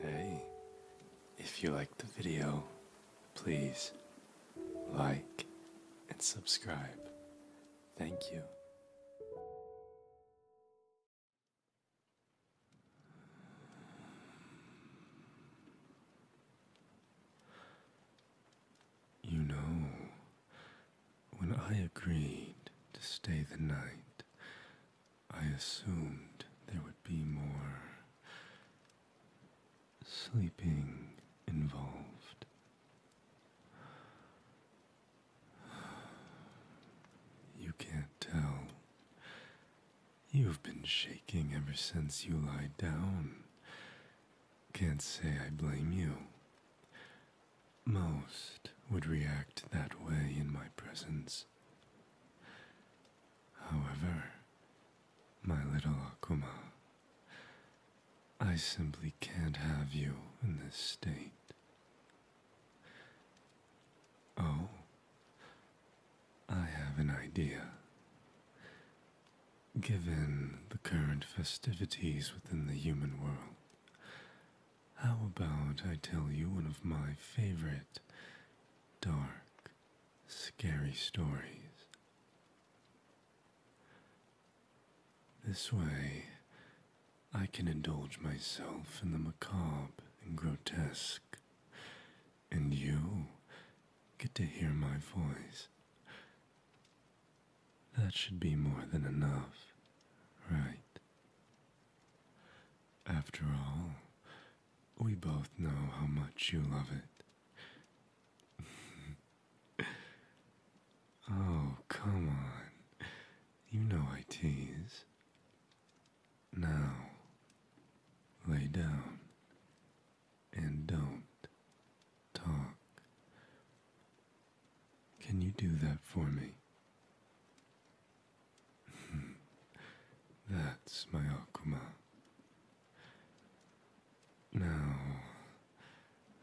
Hey, if you liked the video, please like and subscribe. Thank you. You know, when I agreed to stay the night, I assumed there would be more sleeping involved. You can't tell. You've been shaking ever since you lied down. Can't say I blame you. Most would react that way in my presence. However, my little Akuma, I simply can't have you in this state. Oh, I have an idea. Given the current festivities within the human world, how about I tell you one of my favorite dark, scary stories? This way, I can indulge myself in the macabre and grotesque, and you get to hear my voice. That should be more than enough, right? After all, we both know how much you love it. oh, come on. You know I tease. Now, lay down and don't talk. Can you do that for me? Hmm. That's my Akuma. Now,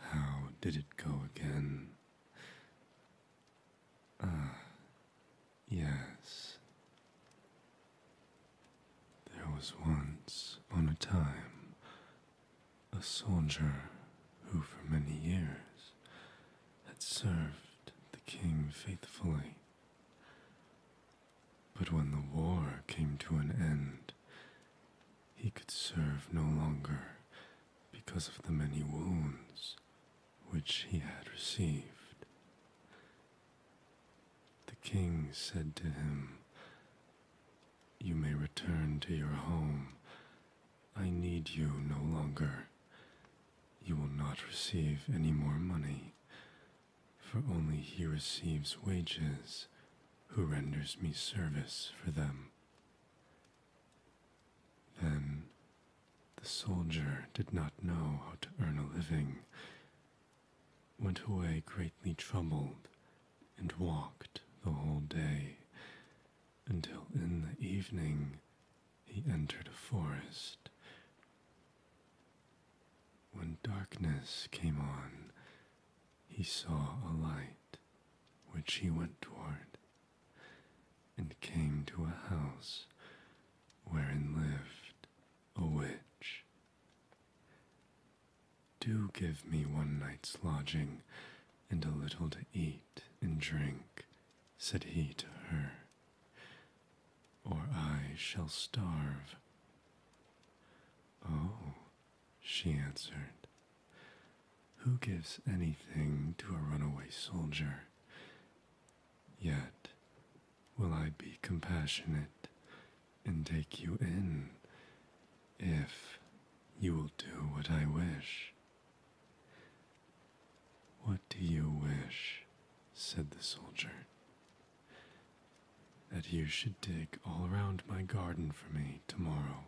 how did it go again? Ah, yes. There was once on a time a soldier who, for many years, had served the king faithfully. But when the war came to an end, he could serve no longer because of the many wounds which he had received. The king said to him, You may return to your home I need you no longer. You will not receive any more money, for only he receives wages who renders me service for them. Then the soldier did not know how to earn a living, went away greatly troubled, and walked the whole day until in the evening he entered a forest. When darkness came on, he saw a light, which he went toward, and came to a house wherein lived a witch. Do give me one night's lodging and a little to eat and drink, said he to her, or I shall starve. Oh, she answered, who gives anything to a runaway soldier? Yet will I be compassionate and take you in if you will do what I wish. What do you wish? said the soldier. That you should dig all round my garden for me tomorrow.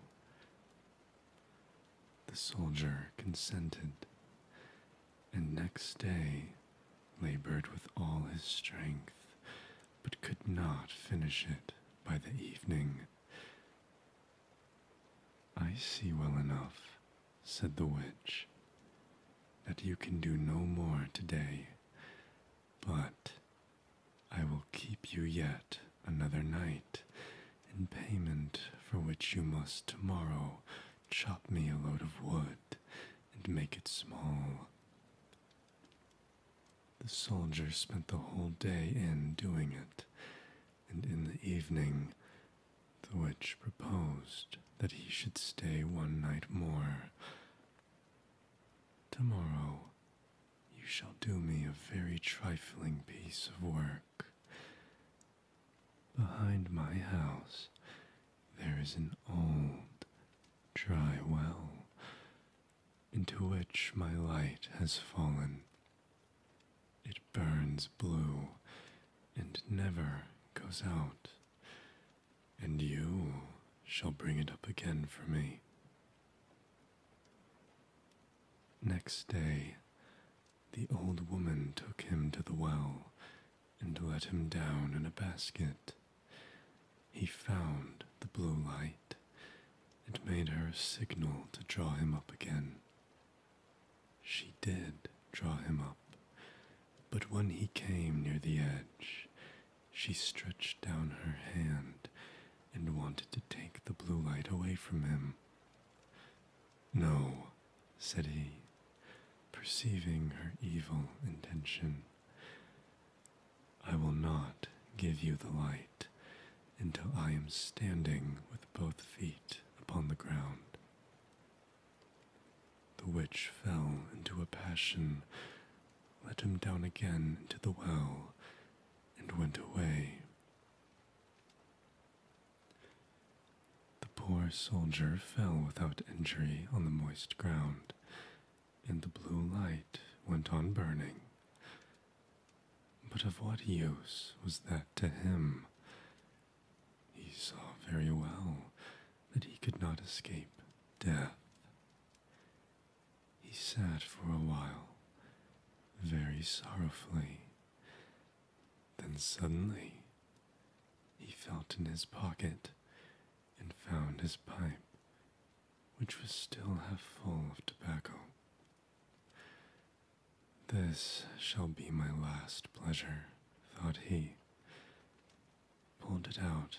The soldier consented, and next day labored with all his strength, but could not finish it by the evening. I see well enough, said the witch, that you can do no more today, but I will keep you yet another night, in payment for which you must tomorrow chop me a load of wood and make it small. The soldier spent the whole day in doing it, and in the evening the witch proposed that he should stay one night more. Tomorrow you shall do me a very trifling piece of work. Behind my house there is an old, dry well into which my light has fallen it burns blue and never goes out, and you shall bring it up again for me. Next day, the old woman took him to the well and let him down in a basket. He found the blue light it made her a signal to draw him up again. She did draw him up, but when he came near the edge, she stretched down her hand and wanted to take the blue light away from him. No, said he, perceiving her evil intention. I will not give you the light until I am standing with both feet upon the ground. The witch fell into a passion, let him down again into the well, and went away. The poor soldier fell without injury on the moist ground, and the blue light went on burning but of what use was that to him? He saw very well that he could not escape death. He sat for a while, very sorrowfully. Then suddenly he felt in his pocket and found his pipe, which was still half full of tobacco. This shall be my last pleasure, thought he. Pulled it out,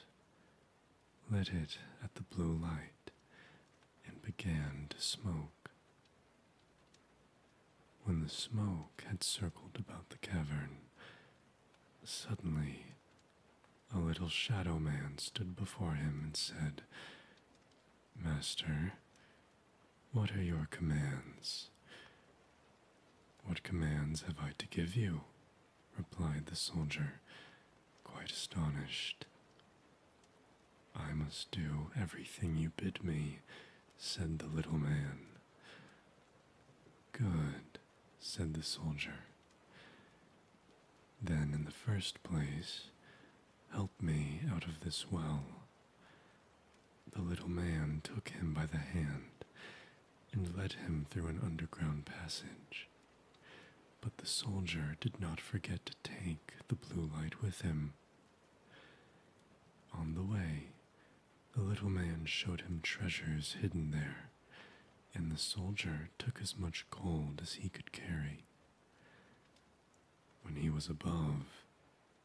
lit it at the blue light, and began to smoke. When the smoke had circled about the cavern, suddenly a little shadow man stood before him and said, Master, what are your commands? What commands have I to give you? replied the soldier, quite astonished. I must do everything you bid me, said the little man. Good, said the soldier. Then, in the first place, Help me out of this well. The little man took him by the hand and led him through an underground passage. But the soldier did not forget to take the blue light with him. On the way, the little man showed him treasures hidden there, and the soldier took as much gold as he could carry. When he was above,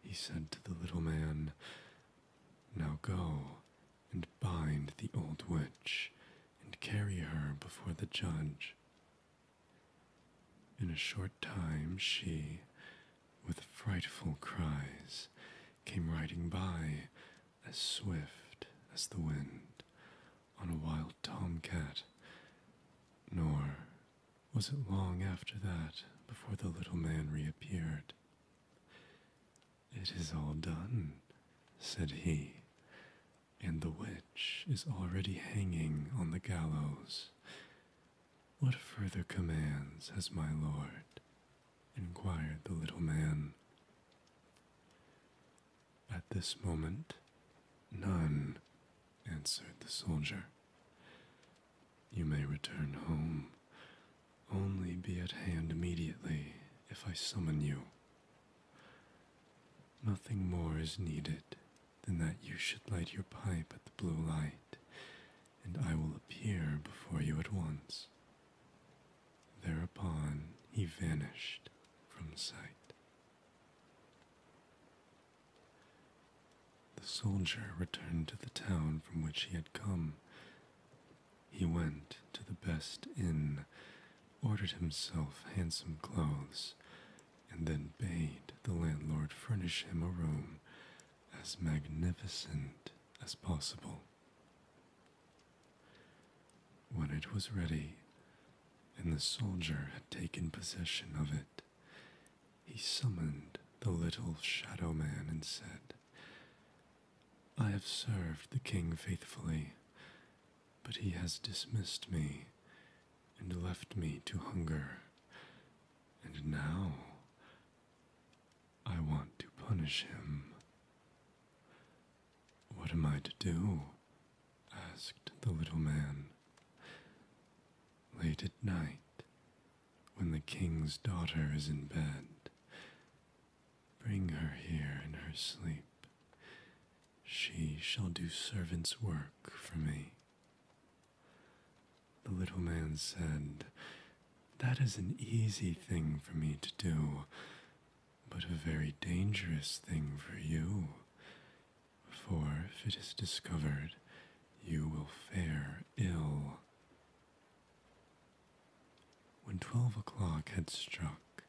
he said to the little man, Now go and bind the old witch and carry her before the judge. In a short time, she, with frightful cries, came riding by as swift as the wind, on a wild tomcat, nor was it long after that before the little man reappeared. It is all done, said he, and the witch is already hanging on the gallows. What further commands has my lord? inquired the little man. At this moment, none, answered the soldier. You may return home. Only be at hand immediately if I summon you. Nothing more is needed than that you should light your pipe at the blue light, and I will appear before you at once. Thereupon he vanished from sight. The soldier returned to the town from which he had come. He went to the best inn, ordered himself handsome clothes, and then bade the landlord furnish him a room as magnificent as possible. When it was ready, and the soldier had taken possession of it, he summoned the little shadow man and said, I have served the king faithfully, but he has dismissed me and left me to hunger. And now I want to punish him. What am I to do? asked the little man. Late at night, when the king's daughter is in bed, bring her here in her sleep. She shall do servant's work for me. The little man said, That is an easy thing for me to do but a very dangerous thing for you. For if it is discovered, you will fare ill. When twelve o'clock had struck,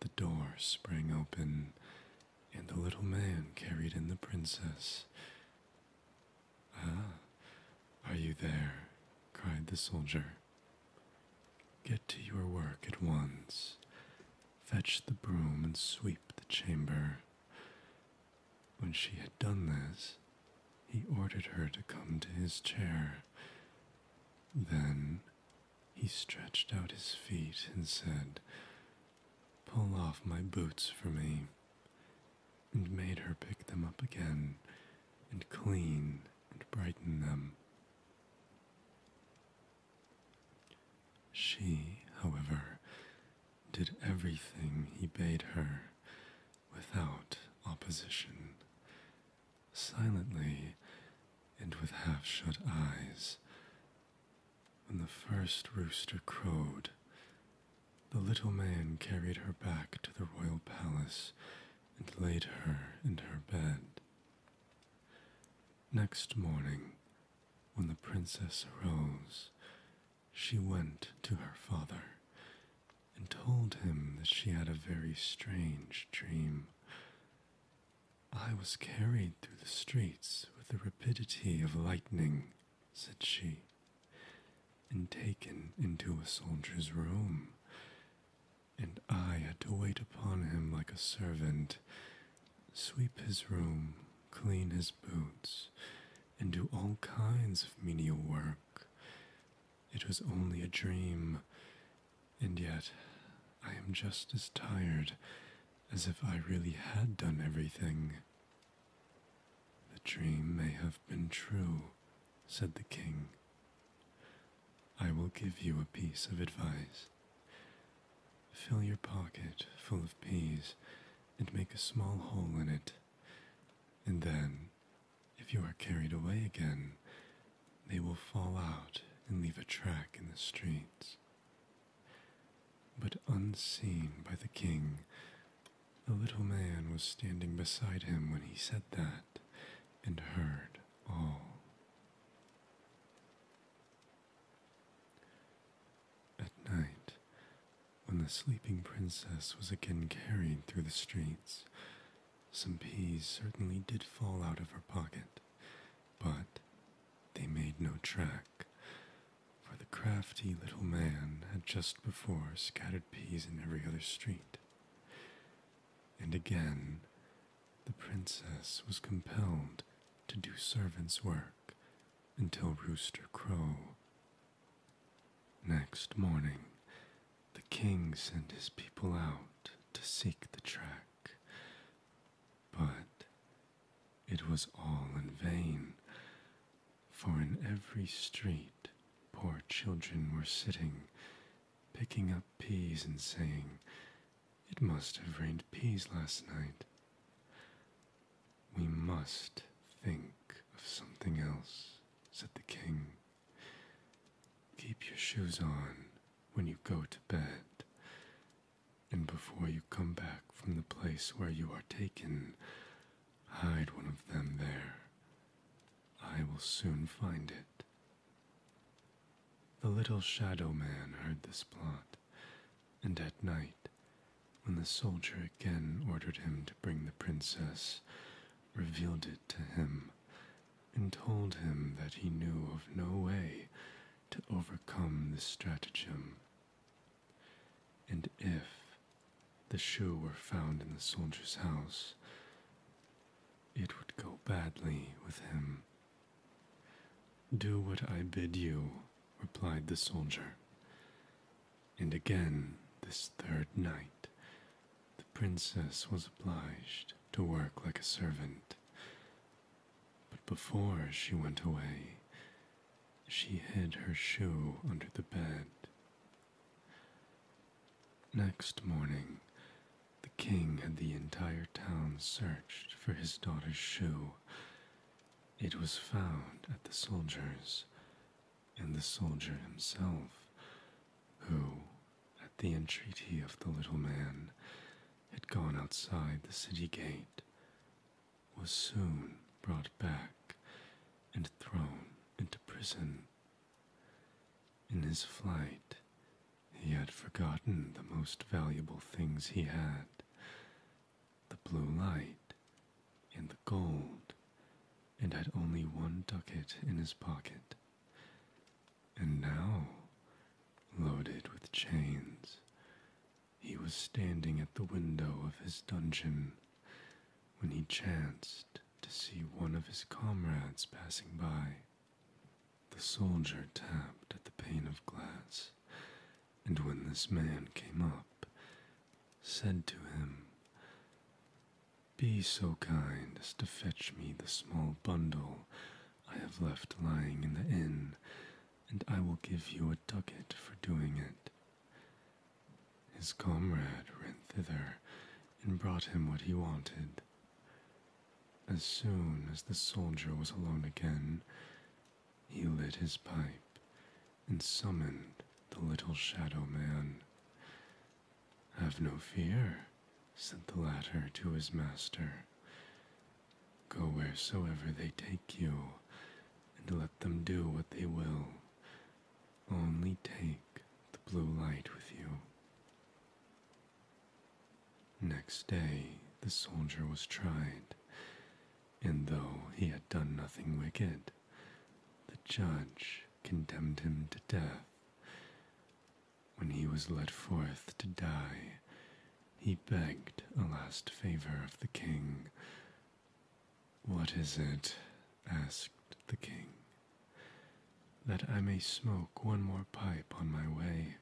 the door sprang open, and the little man carried in the princess. Ah, are you there? cried the soldier. Get to your work at once. Fetch the broom and sweep the chamber. When she had done this, he ordered her to come to his chair. Then he stretched out his feet and said, Pull off my boots for me, and made her pick them up again, and clean and brighten them she, however, did everything he bade her without opposition. Silently and with half shut eyes, when the first rooster crowed, the little man carried her back to the royal palace and laid her in her bed. Next morning, when the princess arose, she went to her father and told him that she had a very strange dream. I was carried through the streets with the rapidity of lightning, said she, and taken into a soldier's room and I had to wait upon him like a servant, sweep his room, clean his boots, and do all kinds of menial work. It was only a dream, and yet I am just as tired as if I really had done everything. The dream may have been true, said the king, I will give you a piece of advice. Fill your pocket full of peas and make a small hole in it, and then, if you are carried away again, they will fall out and leave a track in the streets. But unseen by the king, a little man was standing beside him when he said that and heard all. At night, when the sleeping princess was again carried through the streets, some peas certainly did fall out of her pocket, but they made no track, for the crafty little man had just before scattered peas in every other street and again the princess was compelled to do servant's work until rooster crow. Next morning, the king sent his people out to seek the track, but it was all in vain, for in every street poor children were sitting picking up peas and saying, It must have rained peas last night. We must think of something else, said the king. Keep your shoes on when you go to bed, and before you come back from the place where you are taken, hide one of them there I will soon find it. The little shadow man heard this plot, and at night, when the soldier again ordered him to bring the princess, revealed it to him and told him that he knew of no way to overcome this stratagem. And if the shoe were found in the soldier's house, it would go badly with him. Do what I bid you, replied the soldier. And again, this third night, the princess was obliged to work like a servant. But before she went away, she hid her shoe under the bed Next morning, the king had the entire town searched for his daughter's shoe. It was found at the soldier's, and the soldier himself, who, at the entreaty of the little man, had gone outside the city gate, was soon brought back and thrown into prison. In his flight, he had forgotten the most valuable things he had the blue light and the gold, and had only one ducat in his pocket. And now, loaded with chains, he was standing at the window of his dungeon when he chanced to see one of his comrades passing by. The soldier tapped at the pane of glass, and when this man came up, said to him, Be so kind as to fetch me the small bundle I have left lying in the inn, and I will give you a ducat for doing it. His comrade went thither and brought him what he wanted. As soon as the soldier was alone again, he lit his pipe and summoned the little shadow man. Have no fear, said the latter to his master. Go wheresoever they take you, and let them do what they will. Only take the blue light with you. Next day, the soldier was tried, and though he had done nothing wicked, the judge condemned him to death. When he was led forth to die, he begged a last favor of the king what is it? asked the king. That I may smoke one more pipe on my way.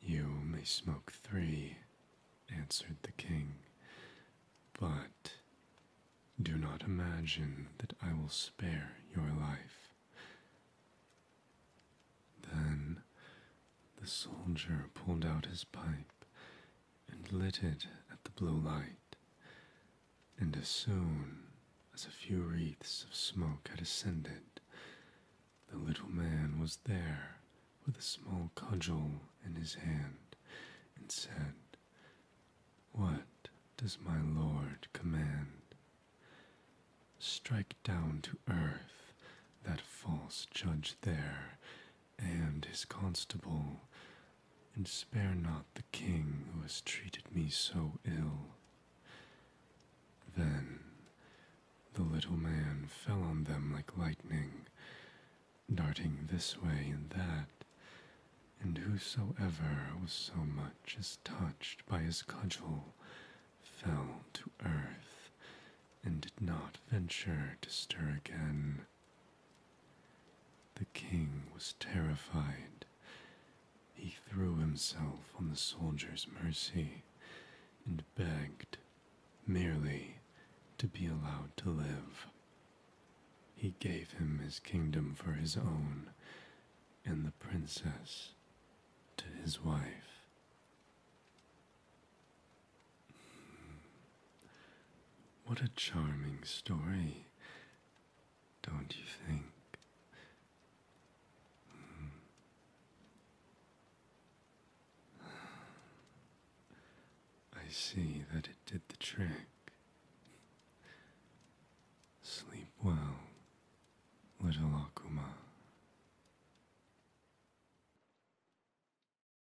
You may smoke three," answered the king, but do not imagine that I will spare your life. Then the soldier pulled out his pipe and lit it at the blue light, and as soon as a few wreaths of smoke had ascended, the little man was there with a small cudgel in his hand, and said, What does my lord command? Strike down to earth that false judge there, and his constable, and spare not the king who has treated me so ill. Then the little man fell on them like lightning, darting this way and that, and whosoever was so much as touched by his cudgel fell to earth, and did not venture to stir again the king was terrified. He threw himself on the soldier's mercy and begged merely to be allowed to live. He gave him his kingdom for his own and the princess to his wife. What a charming story, don't you think? Hmm. I see that it did the trick. Sleep well, little Akuma.